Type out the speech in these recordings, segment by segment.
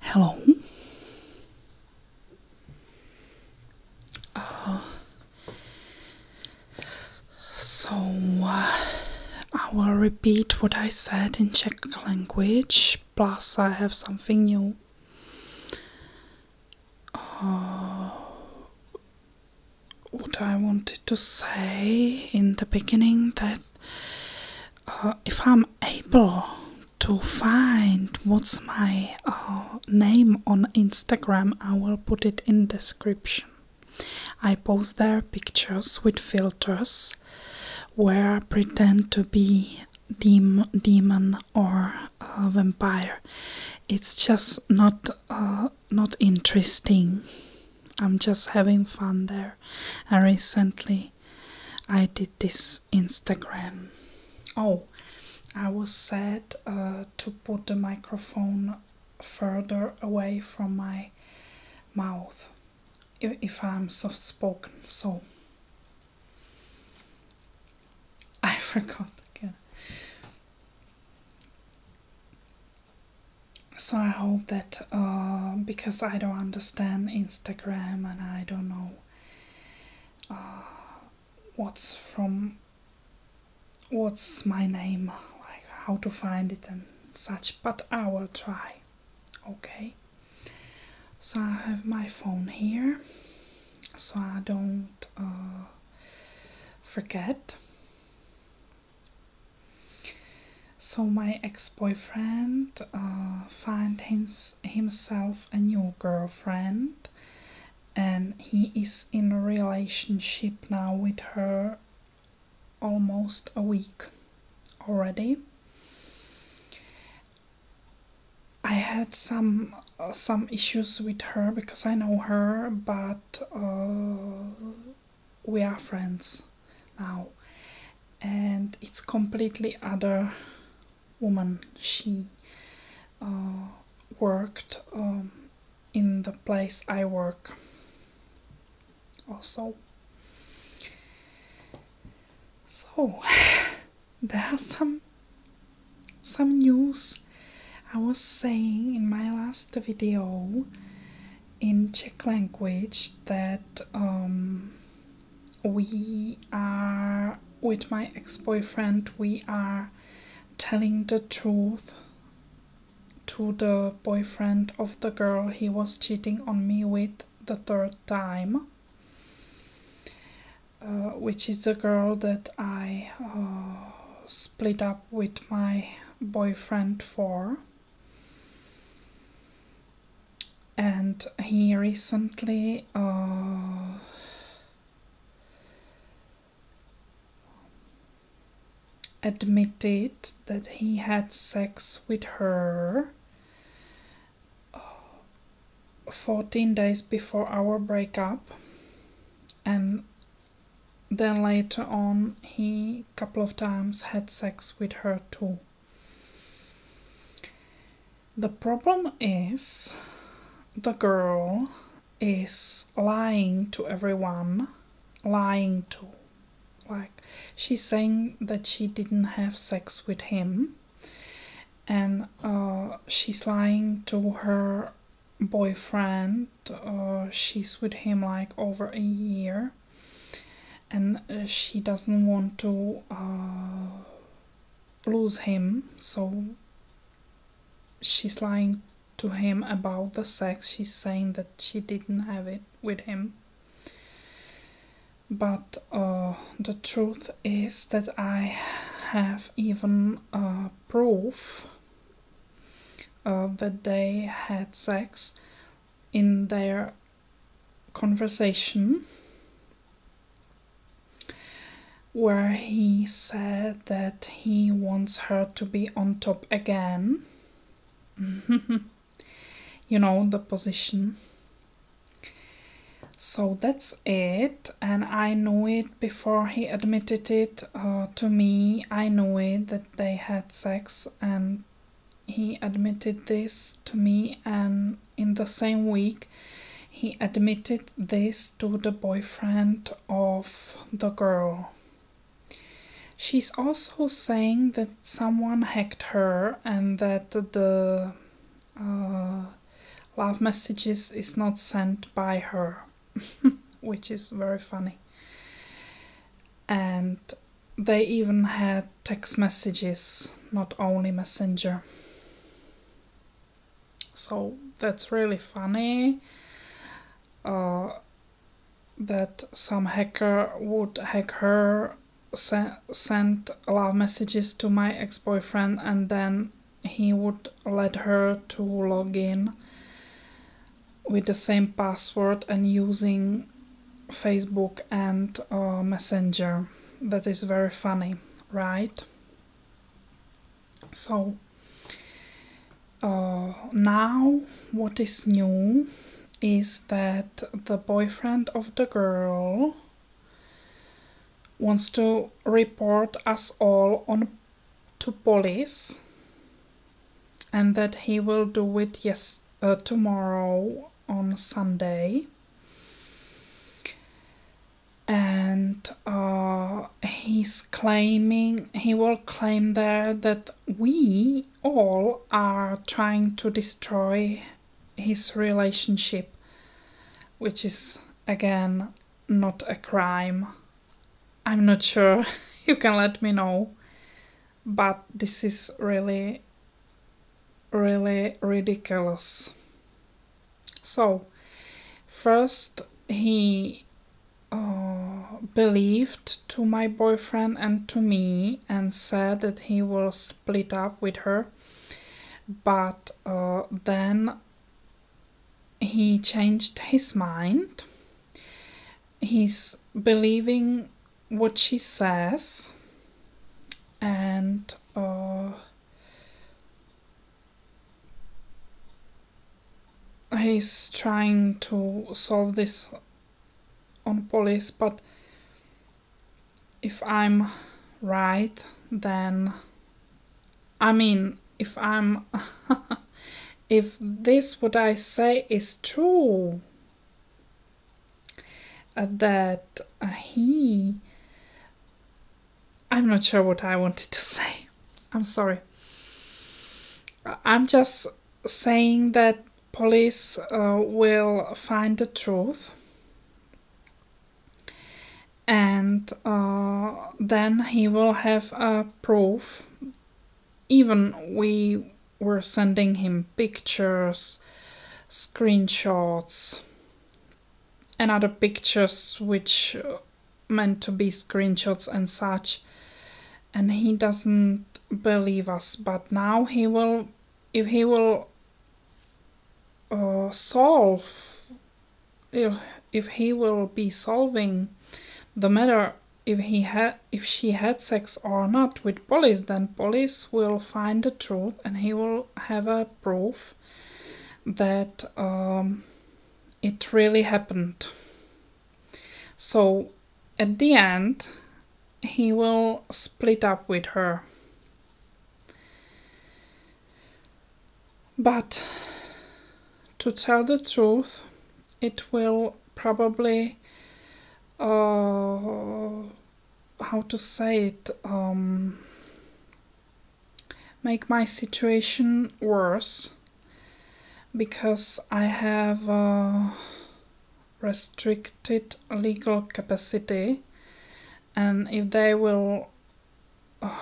Hello. Uh, so uh, I will repeat what I said in Czech language, plus, I have something new. Uh, what I wanted to say in the beginning that uh, if I'm able to find what's my uh, name on Instagram, I will put it in description. I post there pictures with filters where I pretend to be demon or vampire. It's just not uh, not interesting. I'm just having fun there. And recently I did this Instagram. Oh, I was sad uh, to put the microphone further away from my mouth if I'm soft spoken. So I forgot again so I hope that uh, because I don't understand Instagram and I don't know uh, what's from what's my name, like how to find it and such, but I will try. Okay. So I have my phone here, so I don't uh, forget. So my ex-boyfriend uh, found himself a new girlfriend, and he is in a relationship now with her almost a week already. I had some uh, some issues with her because I know her, but uh, we are friends now and it's completely other woman she uh, worked um, in the place i work also so there are some some news i was saying in my last video in Czech language that um, we are with my ex-boyfriend we are telling the truth to the boyfriend of the girl he was cheating on me with the third time uh, which is the girl that I uh, split up with my boyfriend for and he recently uh, admitted that he had sex with her uh, 14 days before our breakup and then later on, he couple of times had sex with her too. The problem is the girl is lying to everyone, lying to. Like, she's saying that she didn't have sex with him, and uh, she's lying to her boyfriend. Uh, she's with him like over a year and uh, she doesn't want to uh, lose him, so she's lying to him about the sex. She's saying that she didn't have it with him. But uh, the truth is that I have even proof uh, that they had sex in their conversation where he said that he wants her to be on top again. you know, the position. So that's it, and I know it before he admitted it uh, to me. I know it that they had sex and he admitted this to me and in the same week he admitted this to the boyfriend of the girl. She's also saying that someone hacked her and that the uh, love messages is not sent by her, which is very funny. And they even had text messages, not only Messenger. So that's really funny uh, that some hacker would hack her, se- send love messages to my ex boyfriend, and then he would let her to log in with the same password and using Facebook and uh, Messenger. That is very funny, right? So uh, now what is new is that the boyfriend of the girl wants to report us all on to police and that he will do it yes uh, tomorrow on Sunday and uh, he's claiming he will claim there that we all are trying to destroy his relationship which is again not a crime i'm not sure you can let me know but this is really really ridiculous so first he uh, believed to my boyfriend and to me and said that he will split up with her but uh, then he changed his mind he's believing what she says and uh, he's trying to solve this on police but if i'm right then i mean if i'm if this what i say is true uh, that uh, he I'm not sure what I wanted to say. I'm sorry. Uh, I'm just saying that police will find the truth and then he will have a proof even we were sending him pictures, screenshots, and other pictures which meant to be screenshots and such. And he doesn't believe us, but now he will, if he will uh, solve, if, if he will be solving the matter if he had if she had sex or not with police then police will find the truth and he will have a proof that um, it really happened so at the end he will split up with her but to tell the truth it will probably uh, how to say it um, make my situation worse because I have uh, restricted legal capacity and if they will uh,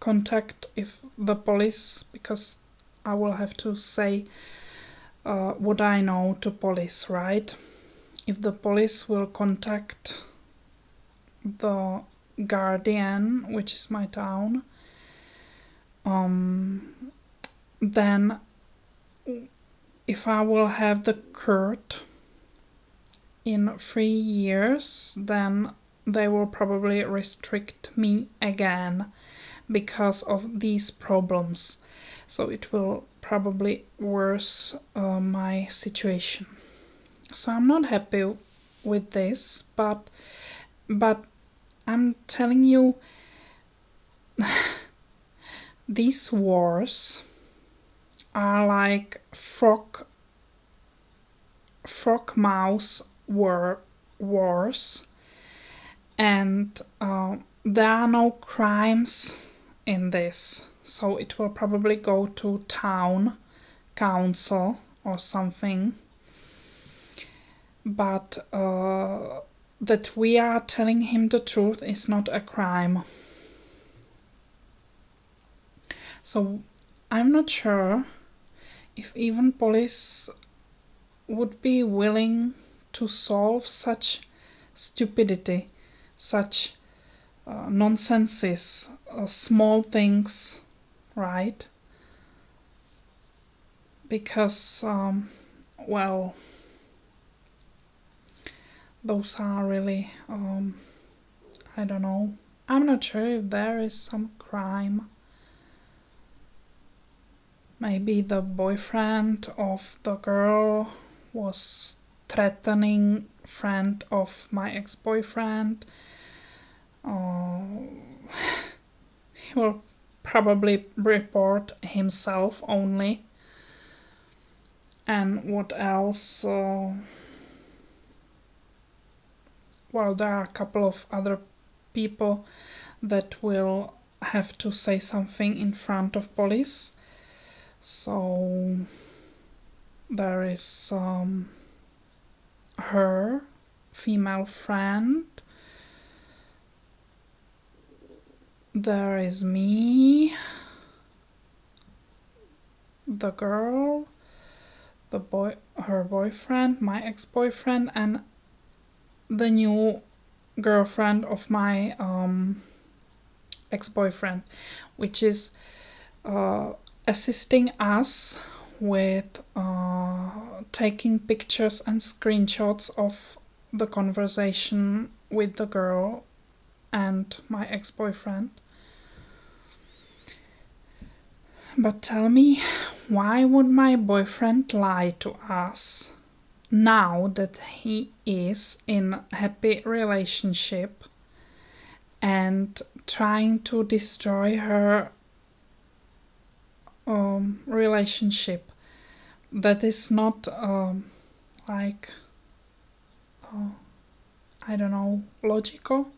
contact if the police because I will have to say uh, what I know to police, right? If the police will contact the guardian, which is my town, um, then if I will have the curd in three years, then they will probably restrict me again because of these problems. So it will probably worse uh, my situation. So I'm not happy with this, but but I'm telling you these wars are like frog frog mouse war wars and uh, there are no crimes in this so it will probably go to town council or something but uh, that we are telling him the truth is not a crime so i'm not sure if even police would be willing to solve such stupidity, such uh, nonsenses, uh, small things, right? Because, um, well, those are really, um, I don't know. I'm not sure if there is some crime Maybe the boyfriend of the girl was threatening friend of my ex-boyfriend. Uh, he will probably report himself only. And what else? Uh, well, there are a couple of other people that will have to say something in front of police so there is um, her female friend there is me the girl the boy her boyfriend my ex-boyfriend and the new girlfriend of my um, ex boyfriend, which is uh, assisting us with uh, taking pictures and screenshots of the conversation with the girl and my ex boyfriend. But tell me, why would my boyfriend lie to us? now that he is in a happy relationship and trying to destroy her um, relationship that is not um, like oh, I don't know logical.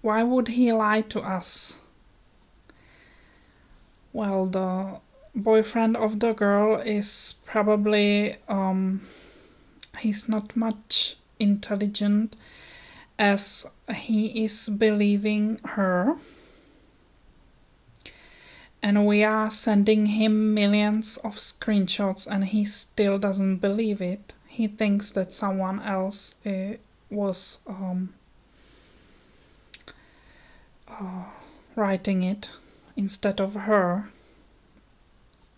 Why would he lie to us? Well, the boyfriend of the girl is probably um, he's not much intelligent as he is believing her and we are sending him millions of screenshots and he still doesn't believe it he thinks that someone else eh, was um, Oh, writing it instead of her.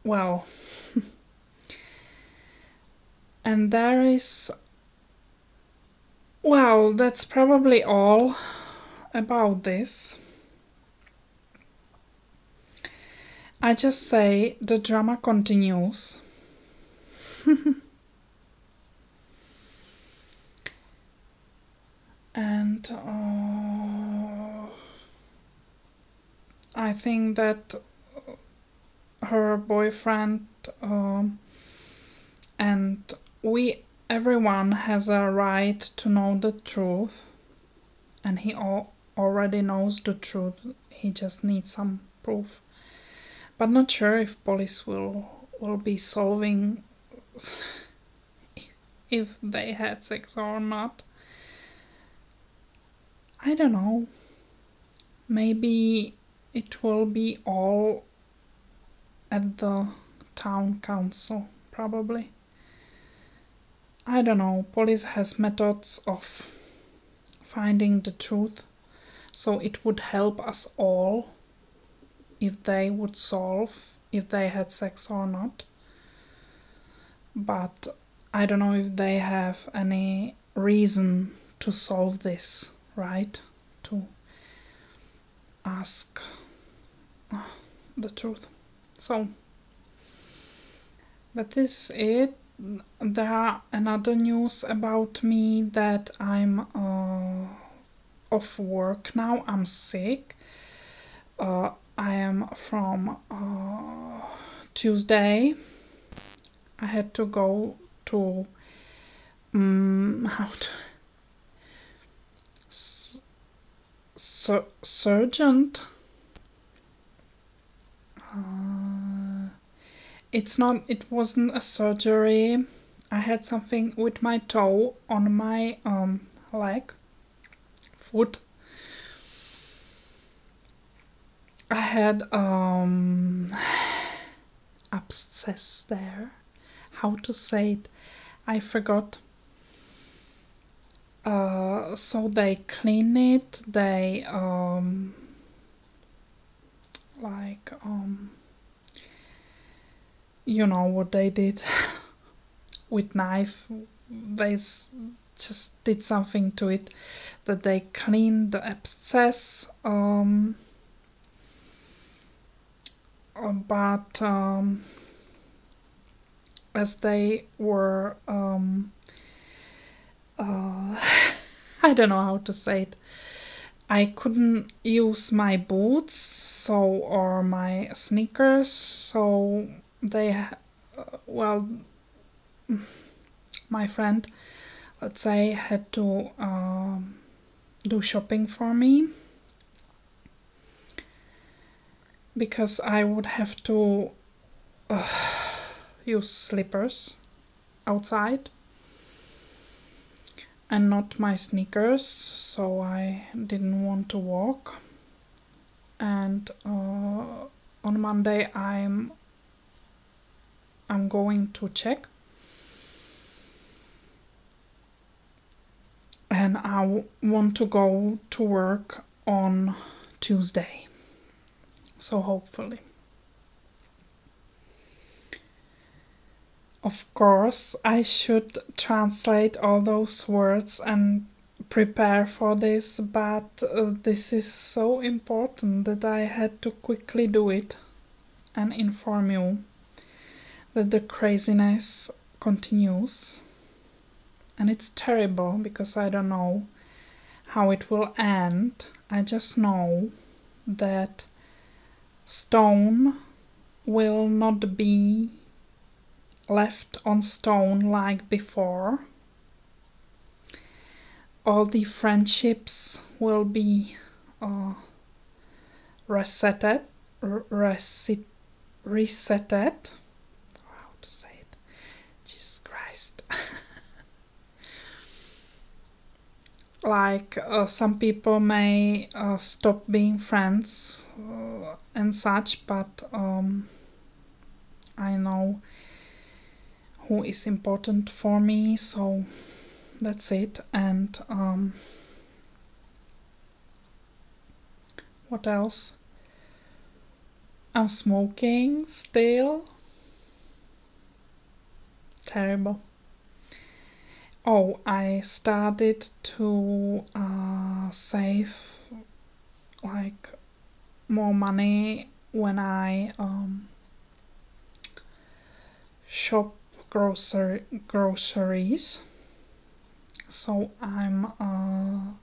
Well, and there is. Well, that's probably all about this. I just say the drama continues. And uh, I think that her boyfriend um, and we everyone has a right to know the truth and he already knows the truth he just needs some proof but not sure if police will will be solving if they had sex or not. I don't know. Maybe it will be all at the town council, probably. I don't know. Police has methods of finding the truth so it would help us all if they would solve if they had sex or not. But I don't know if they have any reason to solve this, right? To ask ah, the truth. So that is it. There are another news about me that I'm uh, of work now. I'm sick. Uh, I am from uh, Tuesday. I had to go to um, how to, sur surgeon. Uh, it's not it wasn't a surgery i had something with my toe on my um leg foot i had um abscess there how to say it i forgot uh, so they clean it they um like um you know what they did with knife they just did something to it that they cleaned the abscess um, uh, but um, as they were um, uh, I don't know how to say it I couldn't use my boots so or my sneakers so they uh, well my friend let's say had to um, do shopping for me because I would have to use slippers outside and not my sneakers so I didn't want to walk and uh, on Monday I'm I'm going to check and I want to go to work on Tuesday so hopefully of course, I should translate all those words and prepare for this, but uh, this is so important that I had to quickly do it and inform you that the craziness continues. And it's terrible because I don't know how it will end. I just know that stone will not be left on stone like before. All the friendships will be uh, resetted, reset, resetted. How to say it? Jesus Christ. like uh, some people may uh, stop being friends uh, and such but um, i know who is important for me so that's it and um, what else i'm smoking still terrible Oh, I started to uh, save like more money when I um, shop grocer groceries. So I'm uh,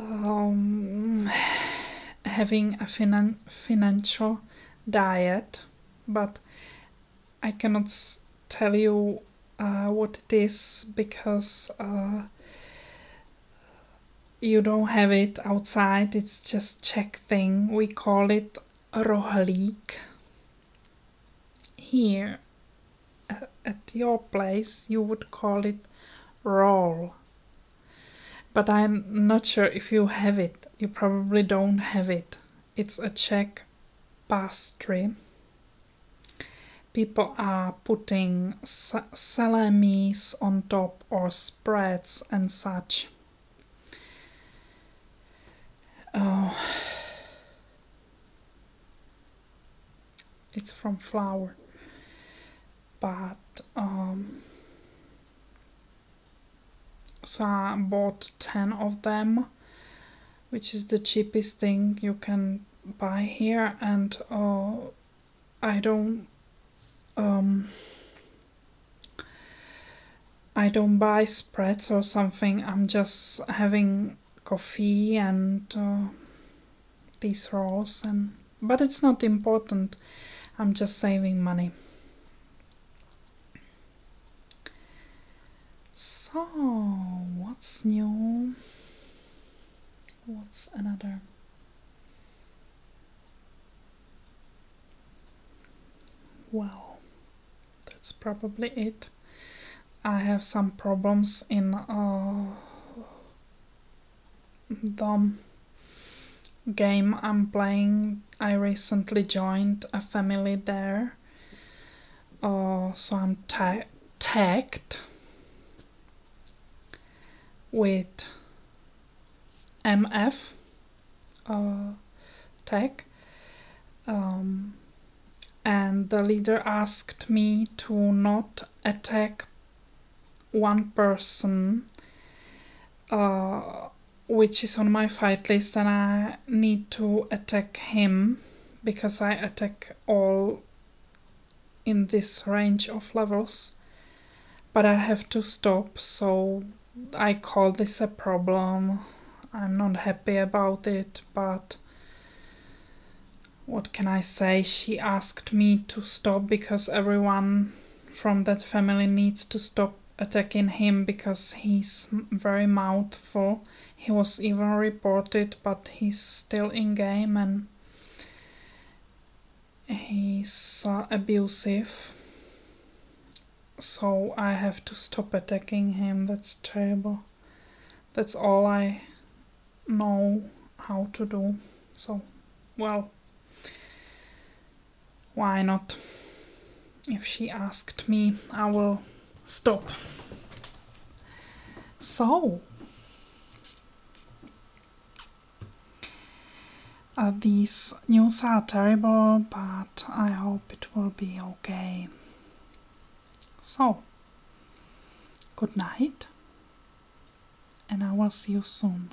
um, having a finan financial diet but I cannot tell you uh, what it is because uh, you don't have it outside. It's just Czech thing. We call it rohlík. Here uh, at your place, you would call it roll. But I'm not sure if you have it. You probably don't have it. It's a Czech pastry. People are putting sa salamis on top or spreads and such. Oh. It's from flour. But um, so I bought 10 of them which is the cheapest thing you can buy here and uh, I don't um, I don't buy spreads or something I'm just having coffee and uh, these rolls and but it's not important I'm just saving money so, what's new? What's another? Well, that's probably it. I have some problems in uh, the game I'm playing, I recently joined a family there. Uh, so I'm ta tagged with MF uh, tag. Um, and the leader asked me to not attack one person uh, which is on my fight list and I need to attack him because I attack all in this range of levels but I have to stop so I call this a problem I'm not happy about it but what can I say she asked me to stop because everyone from that family needs to stop attacking him because he's very mouthful. He was even reported, but he's still in game and he's uh, abusive. So I have to stop attacking him. That's terrible. That's all I know how to do. So, well, why not? If she asked me, I will stop. So, these news are terrible, but I hope it will be okay. So, good night, and I will see you soon.